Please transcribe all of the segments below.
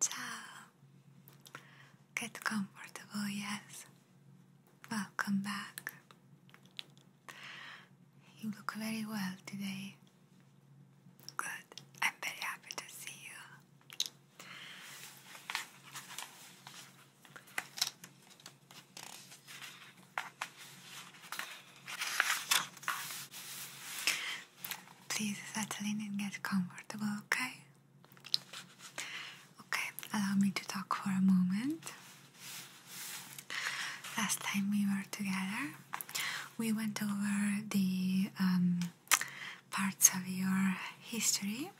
Ciao. Get comfortable, yes. Welcome back. You look very well today. Good. I'm very happy to see you. Please settle in and get comfortable, okay? Okay, allow me to talk for a moment. Last time we were together, we went over the um, parts of your history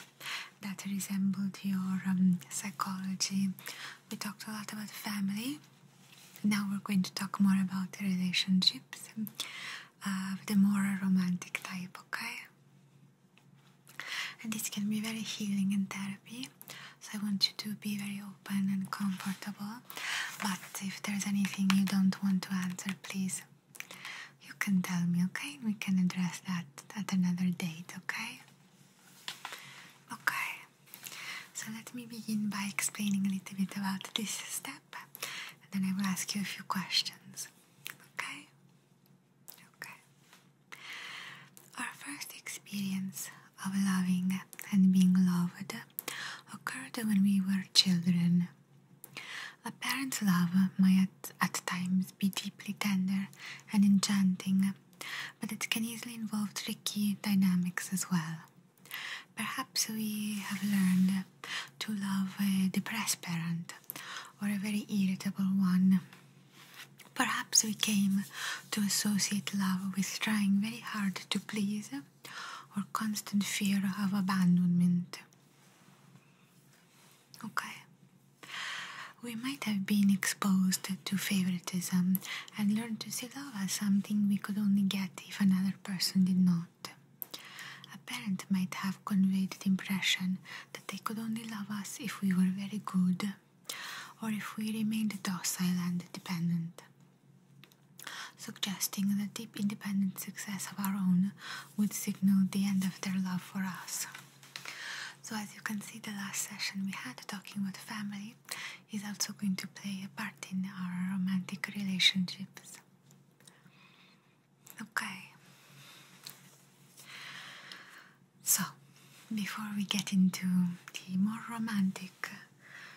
that resembled your um, psychology. We talked a lot about family. Now we're going to talk more about relationships uh, the more romantic type, okay? And this can be very healing in therapy. So I want you to be very open and comfortable. But if there's anything you don't want to answer, please you can tell me, okay? We can address that at another date, okay? Okay. So let me begin by explaining a little bit about this step up, and then I will ask you a few questions. Okay? Okay. Our first experience of loving and being loved occurred when we were children. A parent's love might at times be deeply tender and enchanting, but it can easily involve tricky dynamics as well. Perhaps we have learned to love a depressed parent or a very irritable one. Perhaps we came to associate love with trying very hard to please or constant fear of abandonment. Okay. We might have been exposed to favoritism and learned to see love as something we could only get if another person did not. A parent might have conveyed the impression that they could only love us if we were very good or if we remained docile and dependent, suggesting that deep independent success of our own would signal the end of their love for us. So, as you can see, the last session we had talking about family is also going to play a part in our romantic relationships. Okay. So, before we get into the more romantic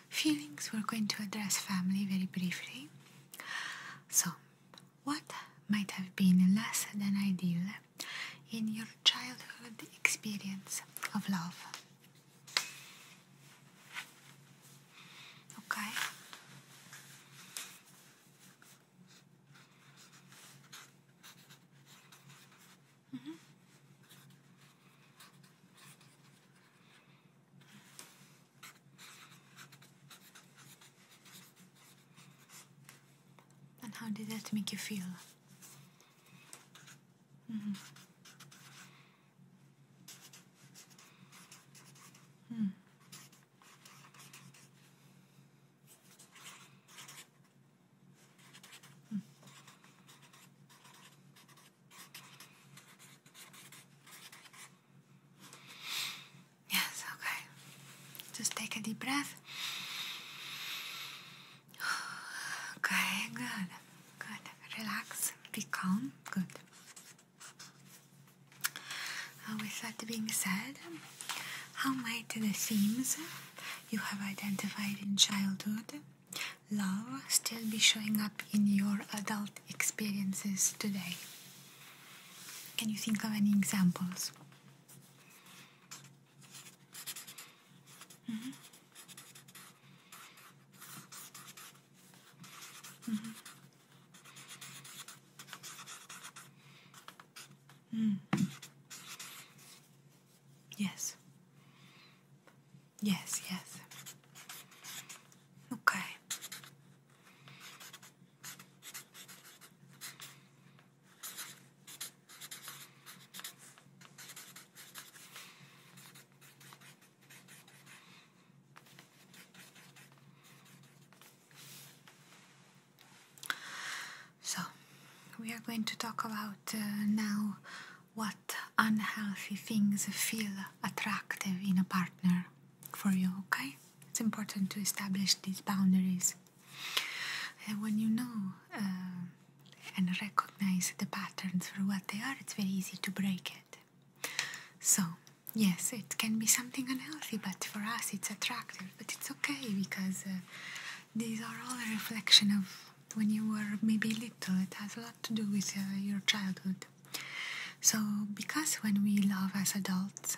feelings, we're going to address family very briefly. So, what might have been less than ideal in your childhood experience of love? Okay. Mm -hmm. And how did that make you feel? Mm -hmm. Hmm. Hmm. Yes, okay. Just take a deep breath. Okay, good. Good. Relax. Be calm. Good. Uh, with that being said, how might the themes you have identified in childhood love still be showing up in your adult experiences today? Can you think of any examples? Mm-hmm. Mm -hmm. Yes. Yes, yes. Okay. So, we are going to talk about uh, now what unhealthy things feel attractive in a partner for you, okay? It's important to establish these boundaries. And when you know uh, and recognize the patterns for what they are, it's very easy to break it. So, yes, it can be something unhealthy, but for us it's attractive. But it's okay because uh, these are all a reflection of when you were maybe little. It has a lot to do with uh, your childhood. So, because when we love as adults,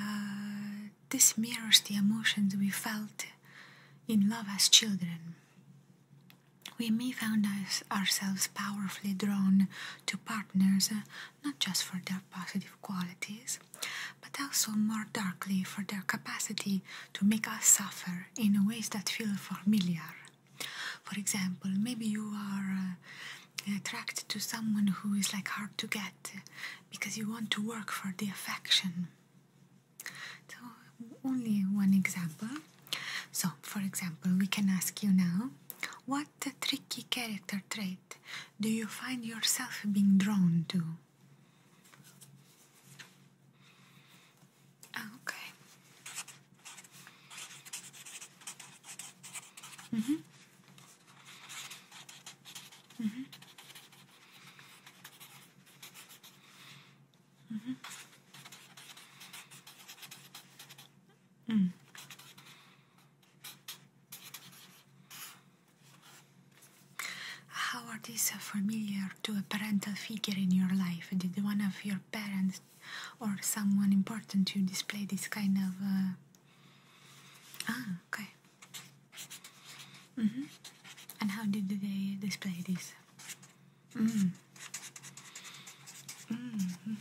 uh, this mirrors the emotions we felt in love as children. We may find ourselves powerfully drawn to partners uh, not just for their positive qualities, but also more darkly for their capacity to make us suffer in ways that feel familiar. For example, maybe you are uh, attracted to someone who is like hard to get uh, because you want to work for the affection. So, only one example. So, for example, we can ask you now what tricky character trait do you find yourself being drawn to? Okay. Mm hmm. Mm hmm. Mm-hmm. How are these familiar to a parental figure in your life? Did one of your parents or someone important to you display this kind of. Uh, ah, okay. Mm-hmm. And how did they display this? Mm. Mm. Mm.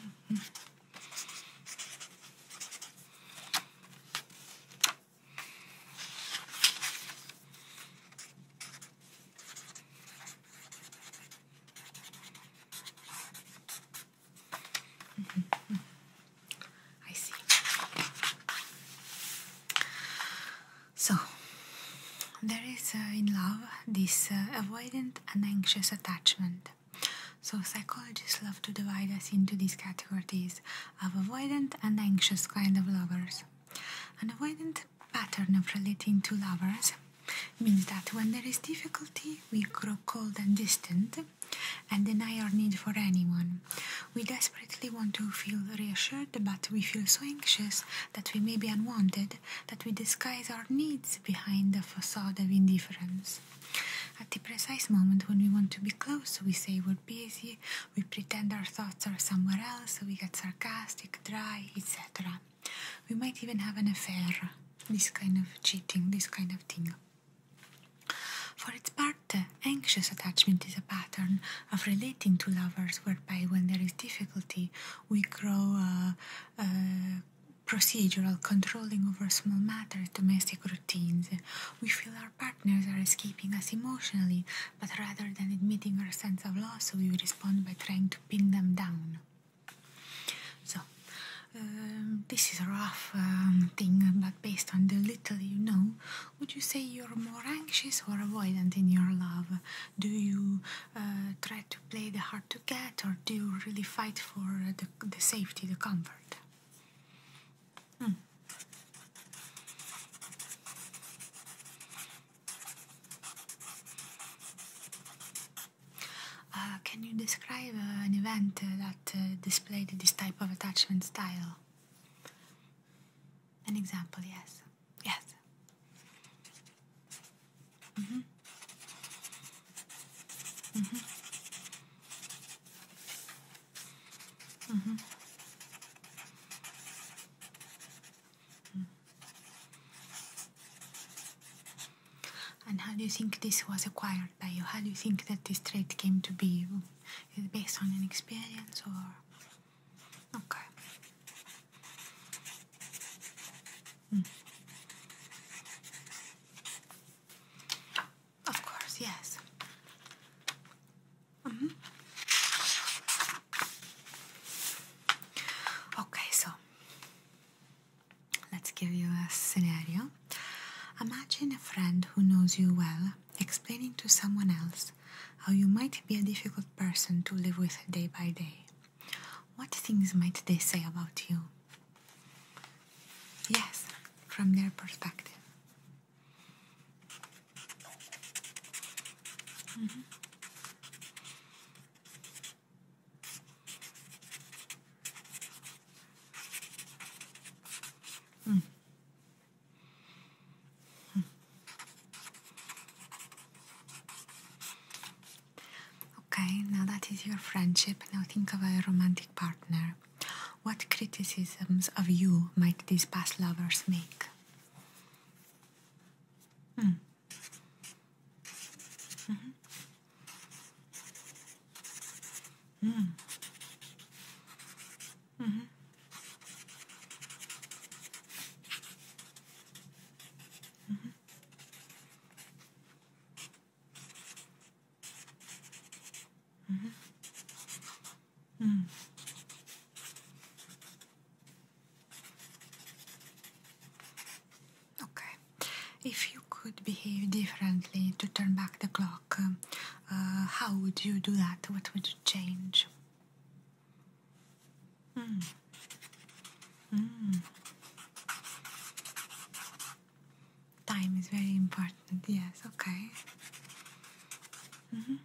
I see. So, there is uh, in love this uh, attachment anxious attachment. So, psychologists love to divide us into these categories of avoidant and anxious kind of lovers. An avoidant pattern of relating to lovers means that when there is difficulty, we grow cold and distant and deny our need for anyone. We desperately want to feel reassured, but we feel so anxious that we may be unwanted that we disguise our needs behind the facade of indifference. At the precise moment when we want to be close, we say we're busy, we pretend our thoughts are somewhere else, we get sarcastic, dry, etc. We might even have an affair, this kind of cheating, this kind of thing. For its part, anxious attachment is a pattern of relating to lovers, whereby when there is difficulty, we grow uh, uh, procedural controlling over small matters, domestic routines. We feel our partners are escaping us emotionally, but rather than admitting our sense of loss, we respond by trying to pin them down. So, um, this is a rough um, thing, but based on the little you know, would you say you're more anxious or avoidant in your love? Do you uh, try to play the hard to get, or do you really fight for uh, the, the safety, the comfort? Hmm. Uh, can you describe an event that displayed this type of attachment style? An example, yes. Yes. Mm-hmm. Mm-hmm. Mm-hmm. And how do you think this was acquired by you? How do you think that this trait came to be? Is based on an experience or? Okay. Of course, yes. -hmm. Okay, so let's give you a scenario. Imagine a friend who knows you well explaining to someone else how you might be a difficult person to live with day by day. What things might they say about you? Yes, from their perspective. Mm -hmm. Okay, now that is your friendship. Now think of a romantic partner. What criticisms of you might these past lovers make? Hmm. Mm-hmm. Mm-hmm. Mm-hmm. Mm-hmm. Okay. If you could behave differently to turn back the clock, uh, how would you do that? What would you change? Mm. Mm. Time is very important, yes, okay. Mm -hmm.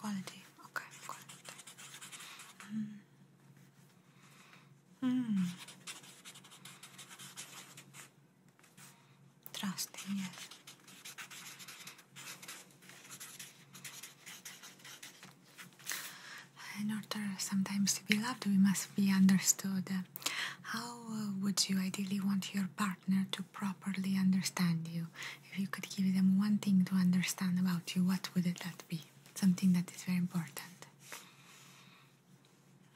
Quality, okay, quality. Mm. Mm. Trusting, yes. In order sometimes to be loved, we must be understood. How uh, would you ideally want your partner to properly understand you? If you could give them one thing to understand about you, what would that be? Something that is very important.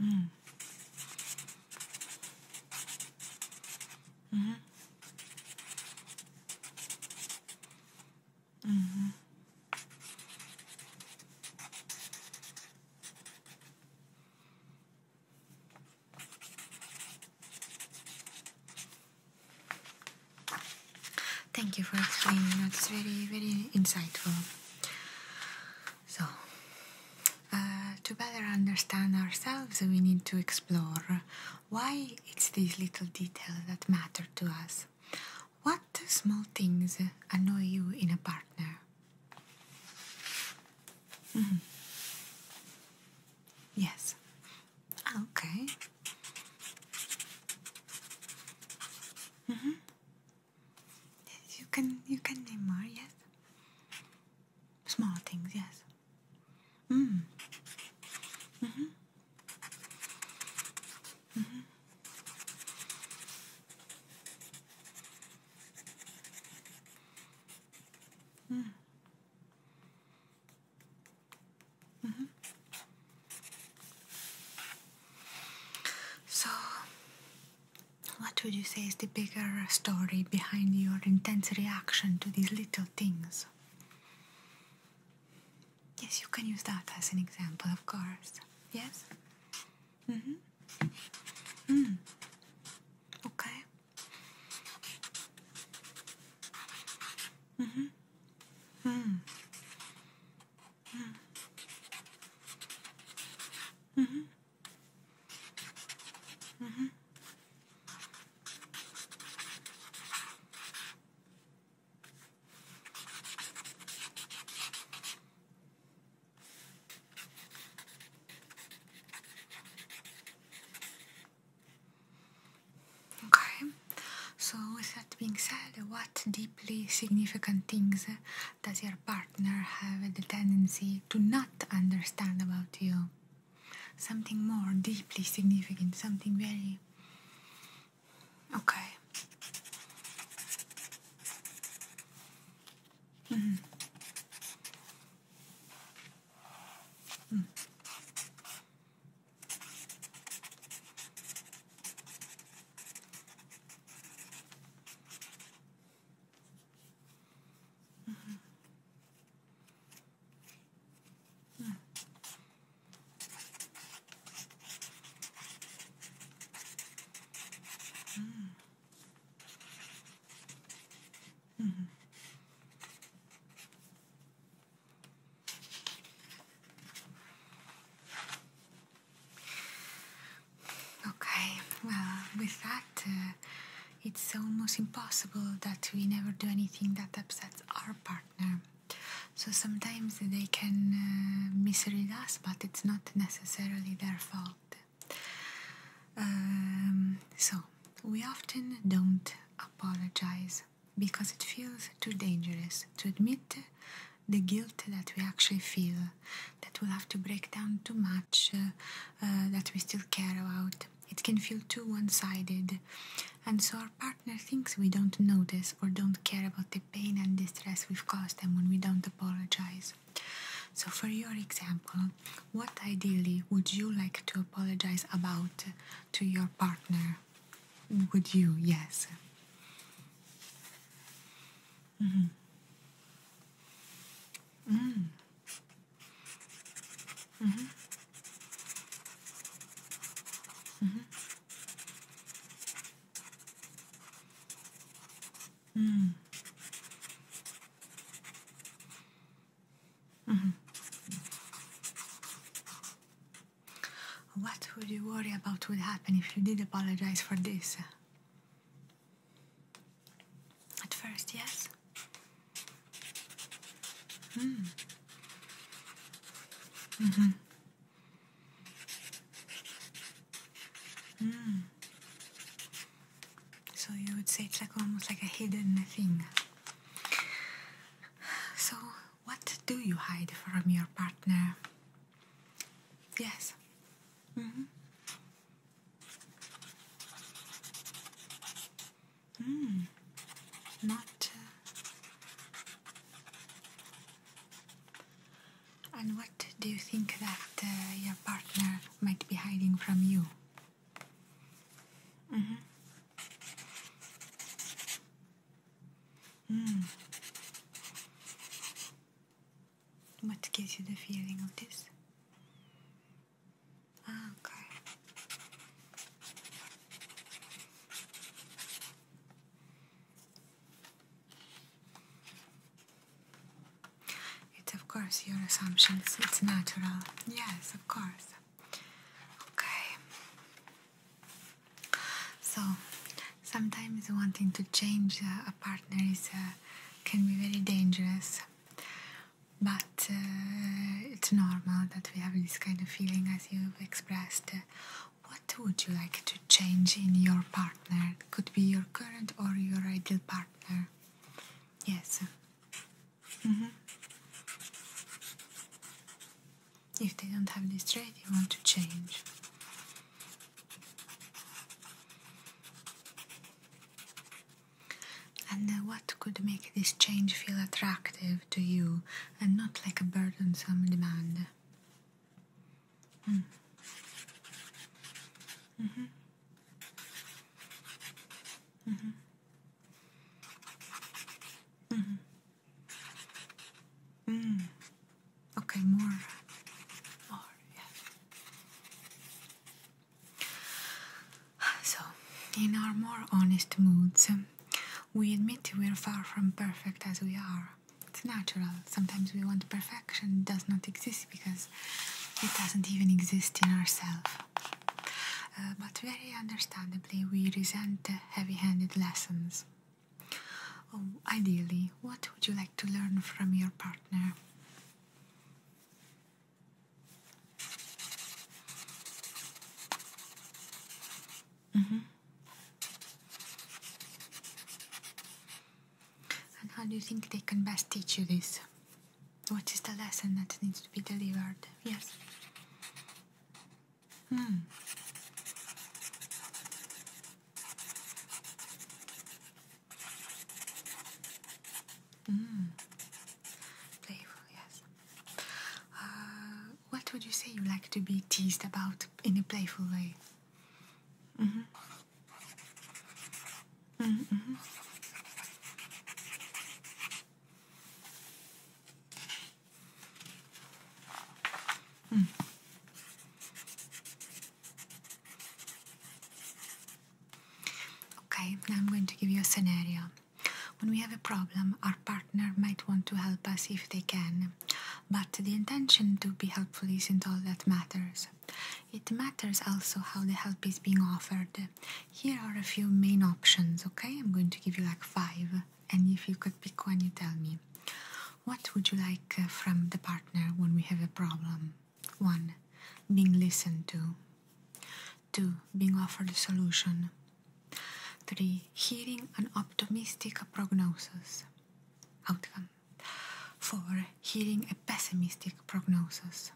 Mm. Mm -hmm. Mm-hmm. Mm-hmm. Thank you for explaining. That's very, very insightful. So, uh, to better understand ourselves, we need to explore why it's these little details that matter to us. What small things annoy you in a partner? Mm-hmm. Yes. Okay. Mm You can you can name more, yes. Small things, yes. Mm. Mm -hmm. Mm -hmm. Mm. Mm So, what would you say is the bigger story behind your intense reaction to these little things? Yes, you can use that as an example, of course. Yes? Mm-hmm. Mm. Okay. Mm-hmm. Mm. Mm. Mm-hmm. Mm-hmm. Okay, so with that being said, what deeply significant things does your partner have the tendency to not understand about you? Something more deeply significant, something very me. Okay. Mm. Mm. Mm -hmm. Hmm. Mm. -hmm. Okay, well, with that, uh, it's almost impossible that we never do anything that upsets our partner. So sometimes they can uh, misread us, but it's not necessarily their fault. Um, so we often don't apologize because it feels too dangerous to admit the guilt that we actually feel, that we have to break down too much, uh, uh, that we still care about. It can feel too one sided, and so our partner thinks we don't notice or don't care about the pain and distress we've caused them when we don't apologize. So, for your example, what ideally would you like to apologize about to your partner? Would you? Yes. Mm-hmm. Mm -hmm. Mm-hmm. Mm-hmm. Mm. hmm mm hmm mm mm What would you worry about would happen if you did apologize for this? At first, yes. Mm. Mm-hmm. So you would say it's like almost like a hidden thing. So what do you hide from your partner? Yes. Mm-hmm. Mm, not. Uh, and what do you think that uh, your partner might be hiding from you? Mm hmm. What gives you the feeling of this? Ah, okay. It's of course your assumptions, it's natural. Yes, of course. Okay. So, sometimes wanting to change uh, a partner is, uh, can be very dangerous. But uh, it's normal that we have this kind of feeling you've expressed, what would you like to change in your partner? Could be your current or your ideal partner. Yes. Mm-hmm. If they don't have this trait, you want to change. And what could make this change feel attractive? to you and not like a burdensome demand. Hmm. Mm-hmm. Mm-hmm. Mm-hmm. Mm. Mm -hmm. Mm -hmm. Mm -hmm. Okay, more. More, yeah. So, in our more honest moods, we admit we're far from perfect as we are. It's natural. Sometimes we want perfection, it does not exist because it doesn't even exist in ourselves. Uh, but very understandably, we resent heavy handed lessons. Oh, ideally, what would you like to learn from your partner? Mm-hmm. And how do you think they can best teach you this? What is the lesson that needs to be delivered? Yes. Hmm. Mm. Playful, yes. Uh, what would you say you like to be teased about in a playful way? Mm-hmm. Mm -hmm. mm. Okay, now I'm going to give you a scenario. When we have a problem, our partner might want to help us if they can, but the intention to be helpful isn't all that matters. It matters also how the help is being offered. Here are a few main options, okay? I'm going to give you like five, and if you could pick one, you tell me. What would you like uh, from the partner when we have a problem? 1. Being listened to. 2. Being offered a solution. 3. Hearing an optimistic prognosis outcome. 4. Hearing a pessimistic prognosis.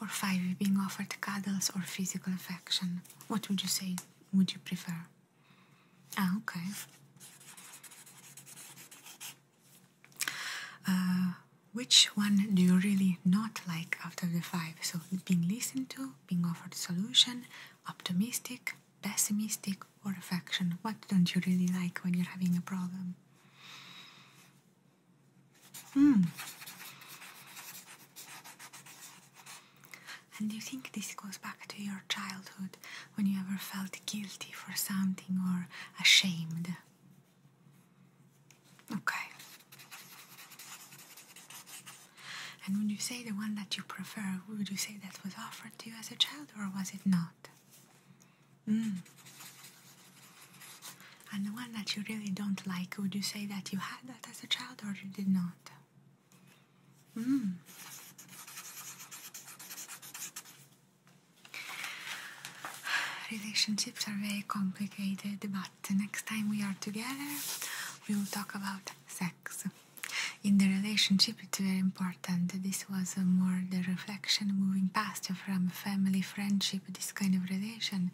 Or 5. Being offered cuddles or physical affection. What would you say would you prefer? Ah, okay. Uh, which one do you really not like out of the five? So being listened to, being offered a solution optimistic, pessimistic, or affection? What don't you really like when you're having a problem? Hmm. And do you think this goes back to your childhood when you ever felt guilty for something or ashamed? Okay. And when you say the one that you prefer, would you say that was offered to you as a child or was it not? Mm. And the one that you really don't like, would you say that you had that as a child or you did not? Mm. Relationships are very complicated, but the next time we are together, we will talk about sex. In the relationship, it's very important. This was more the reflection moving past from family, friendship, this kind of relation.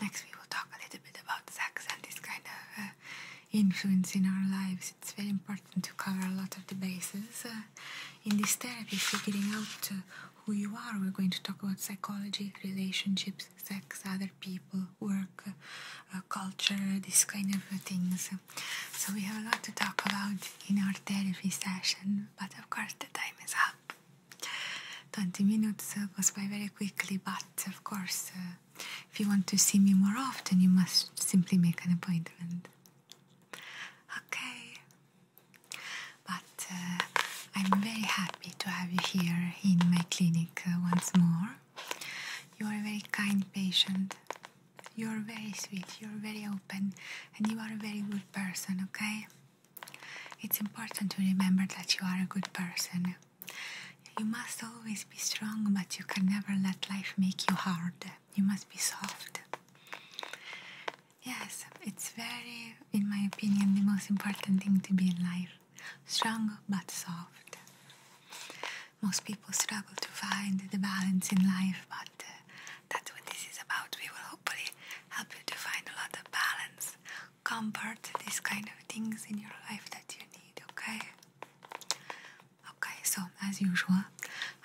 Next, we will talk a little bit about sex and this kind of uh, influence in our lives. It's very important to cover a lot of the bases. Uh, in this therapy, figuring out who you are, we're going to talk about psychology, relationships, sex, other people, work, uh, culture, this kind of things. So we have a lot to talk about in our therapy session, but of course the time is up. 20 minutes goes by very quickly, but of course, uh, if you want to see me more often, you must simply make an appointment. Okay, but uh, I'm very happy to have you here in my clinic once more. You are a very kind patient. You are very sweet. You are very open, and you are a very good person. Okay. It's important to remember that you are a good person. You must always be strong, but you can never let life make you hard. You must be soft. Yes, it's very, in my opinion, the most important thing to be in life strong but soft. Most people struggle to find the balance in life, but uh, that's what this is about. We will hopefully help you to find a lot of balance, comfort, these kind of things in your life that you need, okay? Okay, so as usual,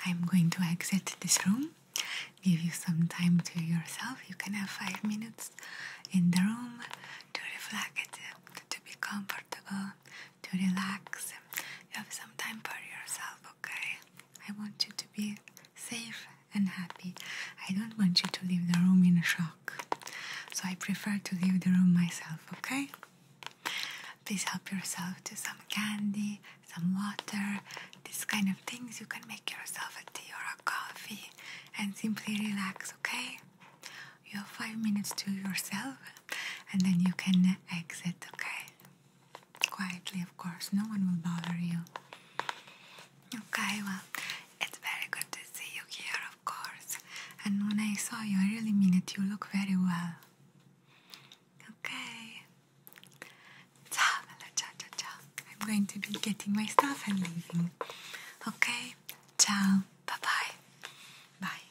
I'm going to exit this room, give you some time to yourself. You can have five minutes in the room to reflect, to be comfortable, to relax. You have some time for yourself, okay? I want you to be safe and happy. I don't want you to leave the room in a shock. So I prefer to leave the room myself, okay? Please help yourself to some candy, some water, these kind of things. You can make yourself a tea or a coffee and simply relax, okay? you have five minutes to yourself and then you can exit, okay? Quietly, of course, no one will bother you. Okay, well, it's very good to see you here, of course. And when I saw you, I really mean it, you look very well. Okay. Ciao, ciao, ciao, ciao. I'm going to be getting my stuff and leaving. Okay? Ciao. Bye-bye. Bye.